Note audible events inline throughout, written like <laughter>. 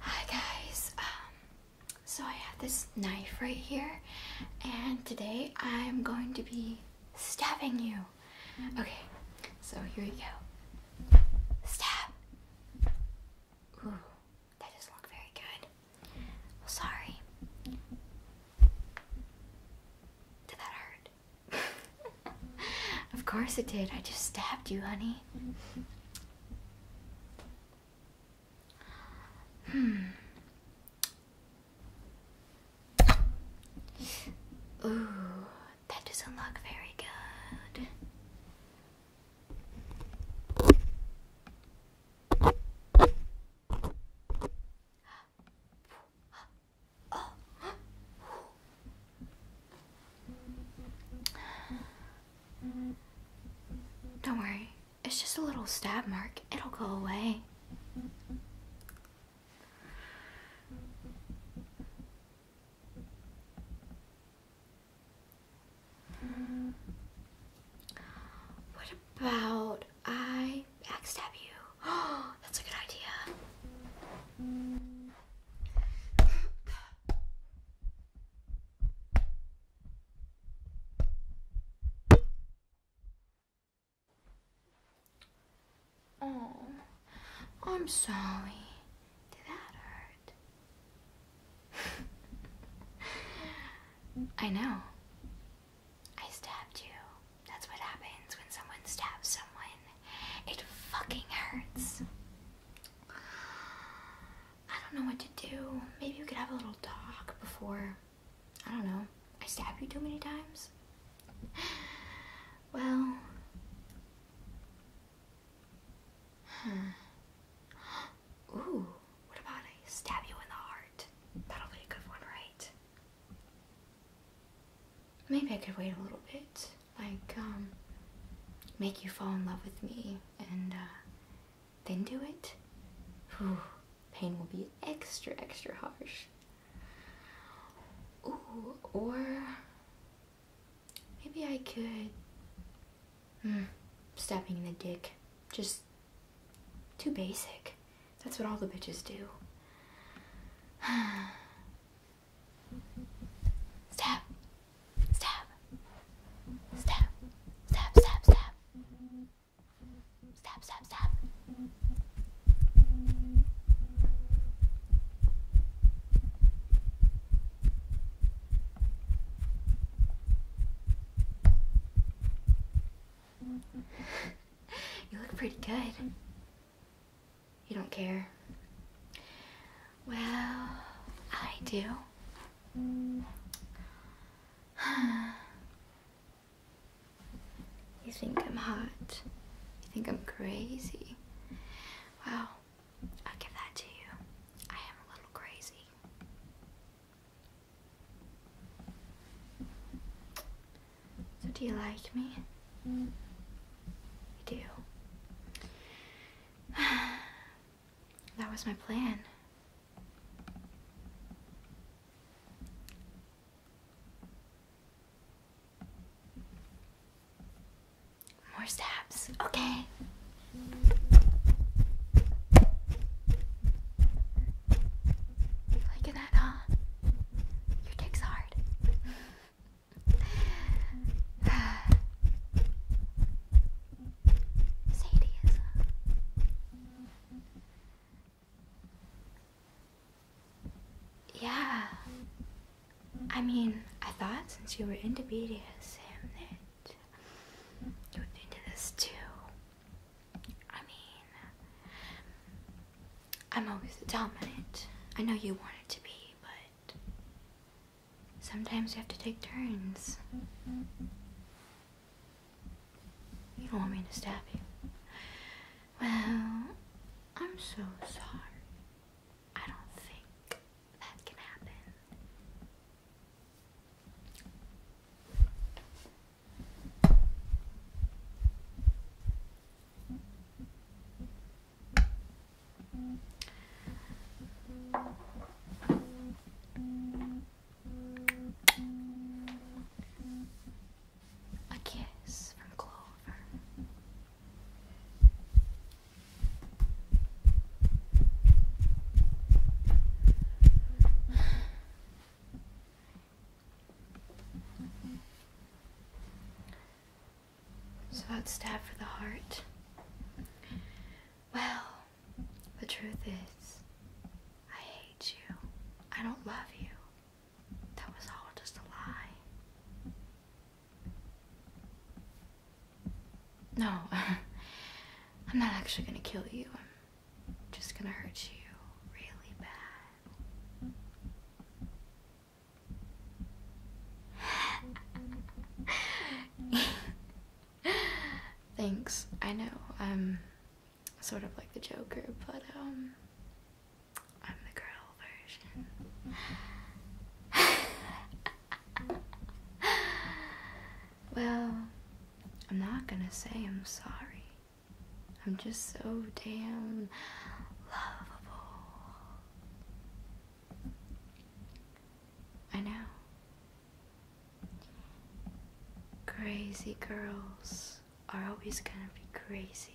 Hi guys, um, so I have this knife right here and today I'm going to be stabbing you. Mm-hmm. Okay, so here we go. Stab! that doesn't look very good. Sorry. Did that hurt? <laughs> of course it did. I just stabbed you, honey. hmm. Ooh, that doesn't look very good. Don't worry, it's just a little stab mark. It'll go away. What about I backstab you. Oh, <gasps> that's a good idea. Oh, I'm sorry. Did that hurt? <laughs> I know. I stabbed you. That's what happens when someone stabs someone. It fucking hurts. I don't know what to do. Maybe we could have a little talk before. I don't know. I stab you too many times? <sighs> Well. Huh. Ooh, what about I stab you in the heart? That'll be a good one, right? Maybe I could wait a little bit. Like, um, make you fall in love with me and uh, then do it. pain will be extra, extra harsh. Ooh, or maybe I could. Mm, stabbing the dick. Just too basic. That's what all the bitches do. stab. Stab. Stab. Stab, stab, stab. Stab, stab, stab. you look pretty good. You don't care? Well, I do. <sighs> you think I'm hot? You think I'm crazy? Well, I'll give that to you. I am a little crazy. So, do you like me? You do. <sighs> that was my plan. More stabs, okay. Liking that, huh? Your dick's hard hard. Uh, yeah. I mean, I thought since you were into BDSM that you would into this too. I mean, I'm always dominant. I know you want it to be, but sometimes you have to take turns. You don't want me to stab you. Well, I'm so sorry. I don't think that can happen. A kiss from Clover. So about stab for the heart. Well, the truth is, I hate you. I don't love you. That was all just a lie. No, <laughs> I'm not actually gonna kill you. I'm just gonna hurt you really bad. <laughs> Thanks. I know I'm sort of like the Joker, but um, I'm the girl version. <laughs> well, I'm not gonna say I'm sorry. I'm just so damn lovable. I know. Crazy girls are always gonna be crazy.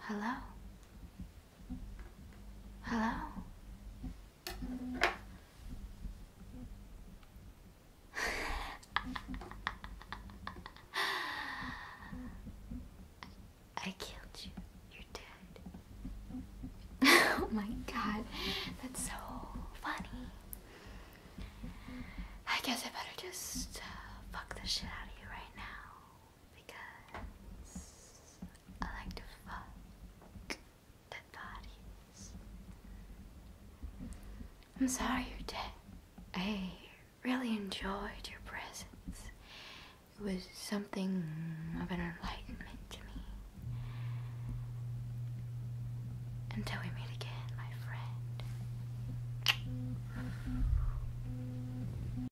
Hello? Hello? I killed you. You're dead. <laughs> oh my god, that's so funny. I guess I better just uh, fuck the shit out of you right now because I like to fuck dead bodies. I'm sorry you're dead. I really enjoyed your presence. It was something of an enlightenment to me. Until we meet again, my friend.